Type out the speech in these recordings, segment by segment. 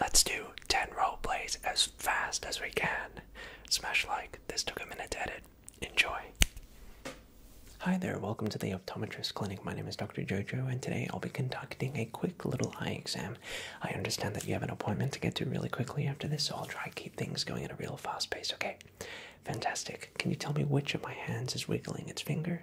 Let's do 10 role plays as fast as we can. Smash like, this took a minute to edit. Enjoy. Hi there, welcome to the Optometrist Clinic. My name is Dr. Jojo, and today I'll be conducting a quick little eye exam. I understand that you have an appointment to get to really quickly after this, so I'll try keep things going at a real fast pace, okay? Fantastic. Can you tell me which of my hands is wiggling its finger?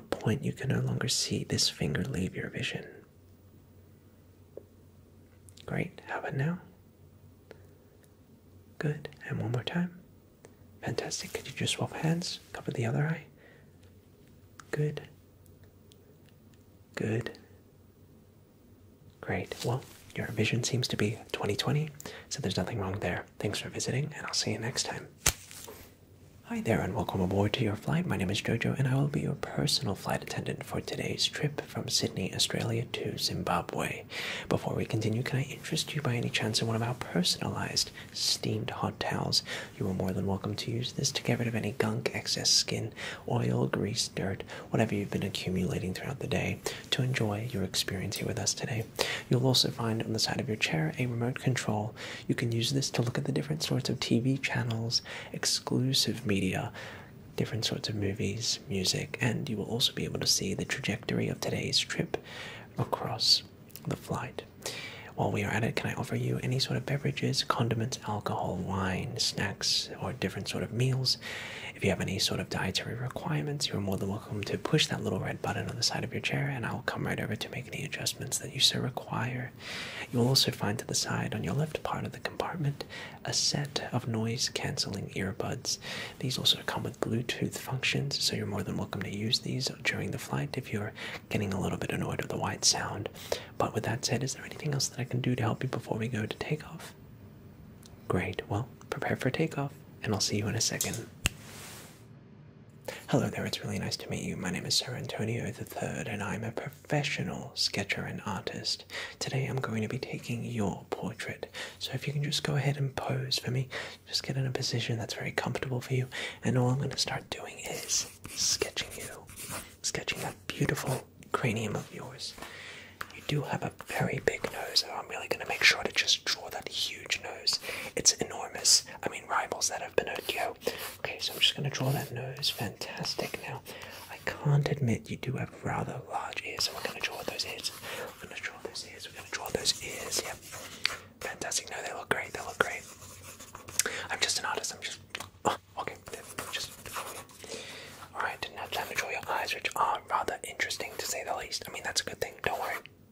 point you can no longer see this finger leave your vision. Great, how about now? Good, and one more time. Fantastic, could you just swap hands? Cover the other eye. Good. Good. Great, well, your vision seems to be 2020, so there's nothing wrong there. Thanks for visiting, and I'll see you next time. Hi there, and welcome aboard to your flight. My name is Jojo, and I will be your personal flight attendant for today's trip from Sydney, Australia to Zimbabwe. Before we continue, can I interest you by any chance in one of our personalized steamed hot towels? You are more than welcome to use this to get rid of any gunk, excess skin, oil, grease, dirt, whatever you've been accumulating throughout the day to enjoy your experience here with us today. You'll also find on the side of your chair a remote control. You can use this to look at the different sorts of TV channels, exclusive media, different sorts of movies, music, and you will also be able to see the trajectory of today's trip across the flight. While we are at it, can I offer you any sort of beverages, condiments, alcohol, wine, snacks, or different sort of meals? If you have any sort of dietary requirements, you're more than welcome to push that little red button on the side of your chair and I'll come right over to make any adjustments that you so require. You will also find to the side on your left part of the compartment a set of noise cancelling earbuds. These also come with Bluetooth functions, so you're more than welcome to use these during the flight if you're getting a little bit annoyed with the white sound. But with that said, is there anything else that I can do to help you before we go to takeoff? Great, well, prepare for takeoff, and I'll see you in a second. Hello there, it's really nice to meet you. My name is Sir Antonio III, and I'm a professional sketcher and artist. Today I'm going to be taking your portrait. So if you can just go ahead and pose for me, just get in a position that's very comfortable for you, and all I'm going to start doing is sketching you, sketching that beautiful cranium of yours. You do have a very big nose, I'm really going to make sure to just draw that huge nose. It's enormous. I mean, rivals that have Pinocchio. Okay, so I'm just going to draw that nose. Fantastic. Now, I can't admit you do have rather large ears, so we're going to draw those ears. We're going to draw those ears. We're going to draw those ears. Yep. Fantastic. No, they look great. They look great. I'm just an artist. I'm just. Oh, okay. Just. Alright, now time to draw your eyes, which are rather interesting to say the least. I mean, that's a good thing. Don't worry.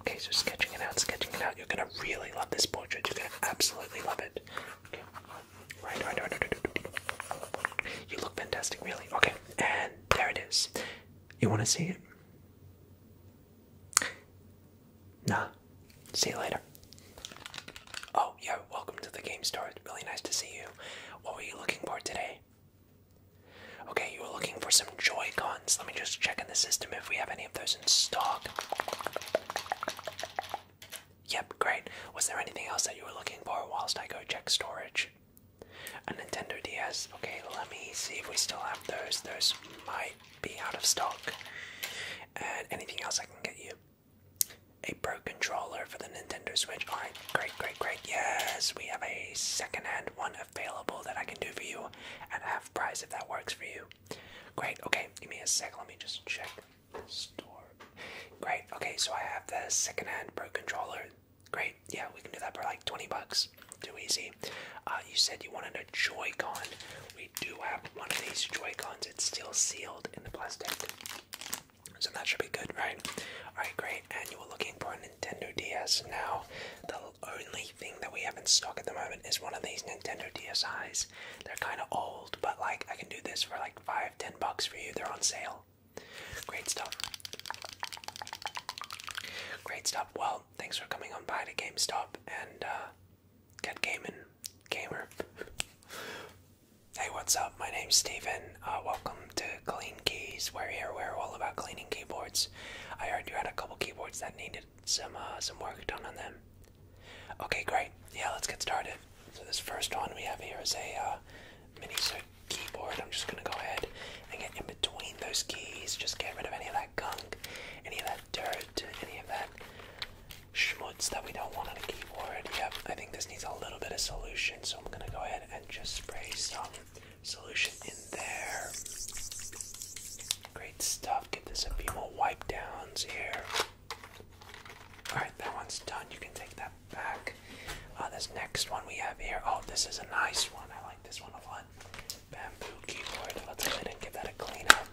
Okay, so sketching it out, sketching it out. You're gonna really love this portrait. You're gonna absolutely love it. Right, right, right, right, right. You look fantastic, really. Okay, and there it is. You wanna see it? Nah. See you later. Oh, yeah, welcome to the game store. It's really nice to see you. What were you looking for today? Okay, you were looking for some Joy-Con let me just check in the system if we have any of those in stock. Yep, great. Was there anything else that you were looking for whilst I go check storage? A Nintendo DS. Okay, let me see if we still have those. Those might be out of stock. And anything else I can get you? A Pro controller for the Nintendo Switch. Alright, great, great, great. Yes, we have a second hand one available that I can do for you at half price if that works for you. Great, okay, give me a sec, let me just check store. Great, okay, so I have the second-hand Pro controller. Great, yeah, we can do that for like 20 bucks. Too easy. Uh, you said you wanted a Joy-Con. We do have one of these Joy-Cons. It's still sealed in the plastic. So that should be good, right? Alright, great. And you are looking for a Nintendo DS now. The only thing that we have in stock at the moment is one of these Nintendo DSIs. They're kind of old, but like I can do this for like five, ten bucks for you. They're on sale. Great stuff. Great stuff. Well, thanks for coming on by to GameStop and uh, get gaming, gamer. hey, what's up? My name's Stephen. Uh, welcome to Clean Keys. We're here. We're all about cleaning keyboards. I heard you had a couple keyboards that needed some uh, some work done on them. Okay, great. Yeah, let's get started. So this first one we have here is a uh, mini keyboard. I'm just gonna go ahead and get in between those keys. Just get rid of any of that gunk, any of that dirt, any of that schmutz that we don't want on a keyboard. Yeah, I think this needs a little bit of solution, so I'm gonna go ahead and just spray some solution in there. Great stuff. Get this a few more wipe downs here. Alright, that one's done. You can take that back. Uh, this next one we have here. Oh, this is a nice one. I like this one a lot. Bamboo keyboard. Let's go ahead and give that a clean up.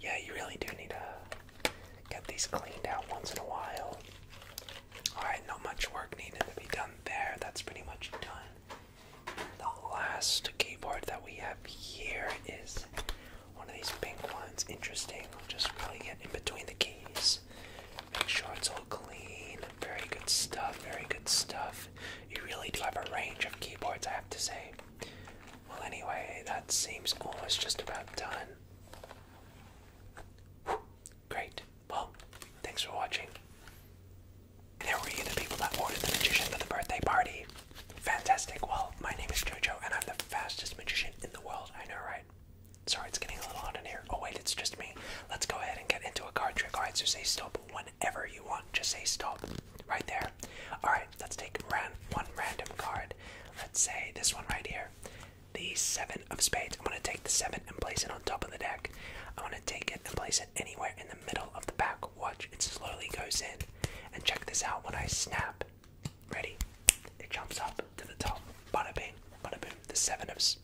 Yeah, you really do need to get these cleaned out once in a while. Alright, not much work needed to be done there. That's pretty much done. The last keyboard that we have here is one of these pink ones. Interesting. I'll just really get in between the keys. Make sure it's all clean. Very good stuff. Very good stuff. You really do have a range of keyboards, I have to say. Well, anyway, that seems almost just about done. Great. Well, thanks for watching. There were you, the people that ordered the magician for the birthday party. Fantastic. Well, my name is Jojo, and I'm the fastest magician in the world. I know, right? Sorry, it's getting a little hot in here. Oh, wait, it's just me. Let's go ahead and get into a card trick. Alright, so say stop whenever you want. Just say stop right there. Alright, let's take one random card. Let's say this one right here. The seven of spades. I'm going to take the seven and place it on top of the deck. I'm going to take it and place it anywhere in the middle of the back. Watch, it slowly goes in. And check this out when I snap. Ready? It jumps up to the top. Bada bing, bada boom. The seven of. S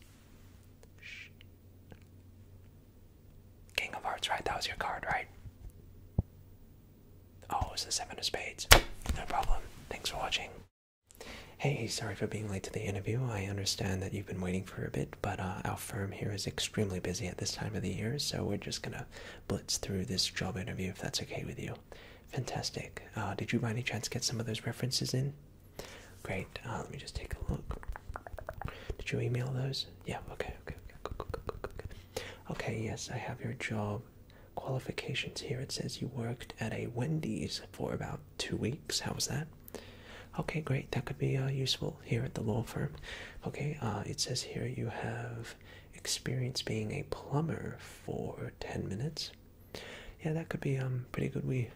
Shh. King of Hearts, right? That was your card, right? Oh, it's the seven of spades. No problem. Thanks for watching. Hey, sorry for being late to the interview. I understand that you've been waiting for a bit but uh, our firm here is extremely busy at this time of the year, so we're just gonna blitz through this job interview if that's okay with you. Fantastic. Uh, did you by any chance get some of those references in? Great. Uh, let me just take a look. Did you email those? Yeah. Okay. Okay. Okay. Okay. Yes, I have your job qualifications here. It says you worked at a Wendy's for about two weeks. How was that? Okay, great. That could be uh, useful here at the law firm. Okay, uh, it says here you have experience being a plumber for 10 minutes. Yeah, that could be um pretty good. We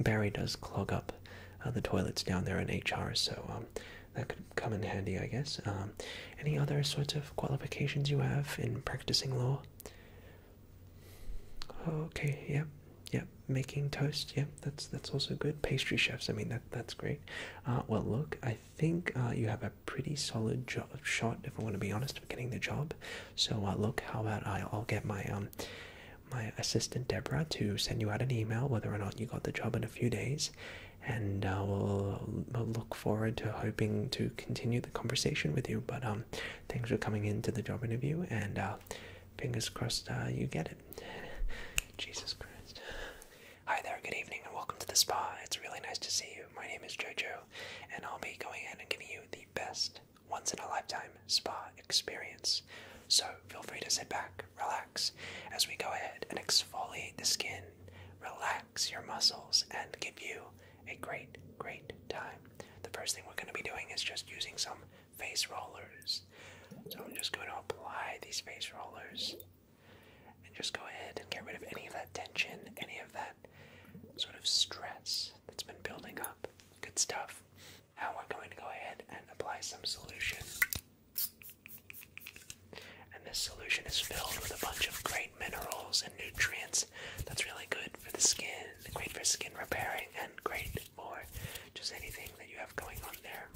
Barry does clog up uh, the toilets down there in HR, so um, that could come in handy, I guess. Um, any other sorts of qualifications you have in practicing law? Okay, yep, yep making toast. yeah, that's that's also good. Pastry chefs. I mean that that's great. Uh, well, look, I think uh, you have a pretty solid shot. If I want to be honest, of getting the job. So uh, look, how about I, will get my um, my assistant Deborah to send you out an email whether or not you got the job in a few days, and uh, we'll, look forward to hoping to continue the conversation with you. But um, thanks for coming into the job interview, and Fingers crossed uh, you get it. Jesus Christ. Hi there, good evening, and welcome to the spa. It's really nice to see you. My name is JoJo, and I'll be going in and giving you the best once in a lifetime spa experience. So feel free to sit back, relax, as we go ahead and exfoliate the skin, relax your muscles, and give you a great, great time. The first thing we're going to be doing is just using some face rollers. So I'm just going to apply these face rollers and just go ahead and get rid of any of that tension, any of that sort of stress that's been building up. Good stuff. Now we're going to go ahead and apply some solution. And this solution is filled with a bunch of great minerals and nutrients that's really good for the skin great for skin repairing and great for just anything that you have going on there.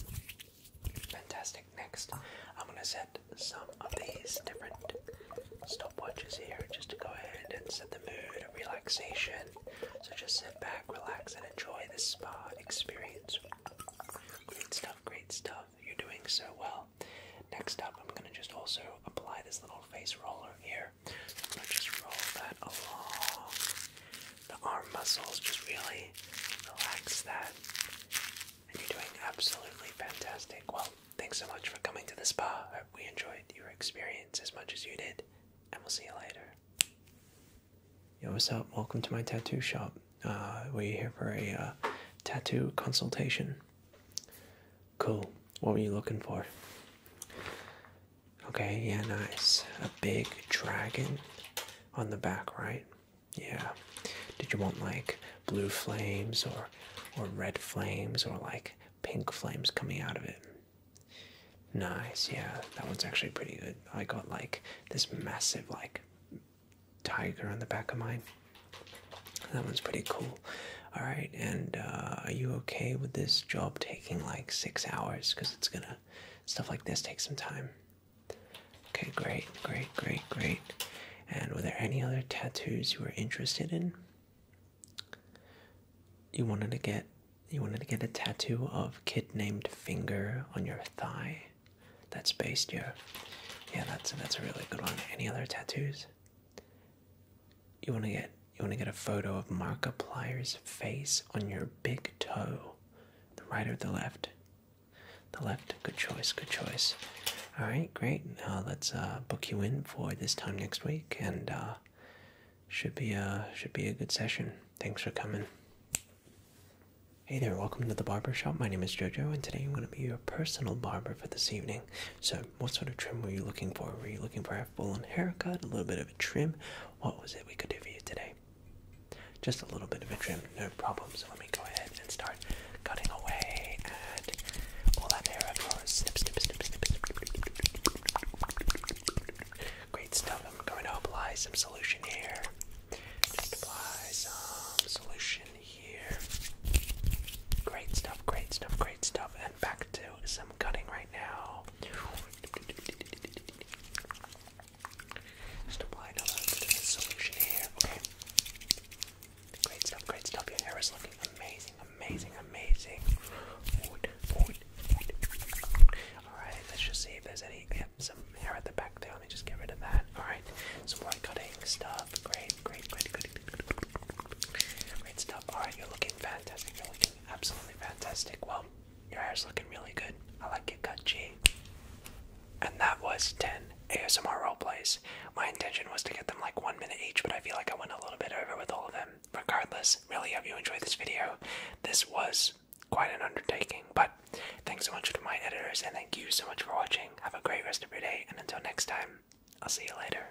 Fantastic. Next, I'm going to set some of these different stopwatches here just to go ahead and set the mood of relaxation. So just sit back, relax, and enjoy the spa experience. Great stuff, great stuff. You're doing so well. Next up, I'm going to just also apply this little face roller here just roll that along. The arm muscles just really relax that. And you're doing absolutely fantastic. Well, thanks so much for coming to the spa. I hope we enjoyed your experience as much as you did. And we'll see you later. Yo, what's up? Welcome to my tattoo shop. Uh, we're here for a uh, tattoo consultation. Cool. What were you looking for? Okay, yeah, nice. A big dragon on the back, right? Yeah. Did you want like blue flames or or red flames or like pink flames coming out of it? Nice, yeah. That one's actually pretty good. I got like this massive like tiger on the back of mine. That one's pretty cool. All right, and uh, are you okay with this job like six hours because it's gonna stuff like this takes some time. Okay, great, great, great, great. And were there any other tattoos you were interested in? You wanted to get you wanted to get a tattoo of kid named Finger on your thigh. That's based your yeah, that's that's a really good one. Any other tattoos? You want to get you want to get a photo of Markiplier's face on your big toe, the right or the left? The left. Good choice. Good choice. All right, great. Now let's uh, book you in for this time next week, and uh, should be a uh, should be a good session. Thanks for coming. Hey there, welcome to the barber shop. My name is Jojo, and today I'm going to be your personal barber for this evening. So what sort of trim were you looking for? Were you looking for a full on haircut, a little bit of a trim? What was it we could do for you today? Just a little bit of a trim, no problem. So let me go ahead and start cutting away and all that hair of Snip, snip, snip, snip, snip. Great stuff. I'm going to apply some solution here. Just apply some solution here. Great stuff, great stuff, great stuff back to some cutting right now. Just apply another solution here. Okay. Great stuff, great stuff. Your hair is looking amazing, amazing, amazing. Alright, let's just see if there's any some hair at the back there. Let me just get rid of that. Alright. Some more cutting stuff. Great, great, great, great. Great stuff. Alright, you're looking fantastic. You're looking Absolutely fantastic. Well, your hair's looking really good. I like it, cut G. And that was 10 ASMR role plays. My intention was to get them like one minute each, but I feel like I went a little bit over with all of them. Regardless, really hope you enjoyed this video. This was quite an undertaking, but thanks so much to my editors and thank you so much for watching. Have a great rest of your day, and until next time, I'll see you later.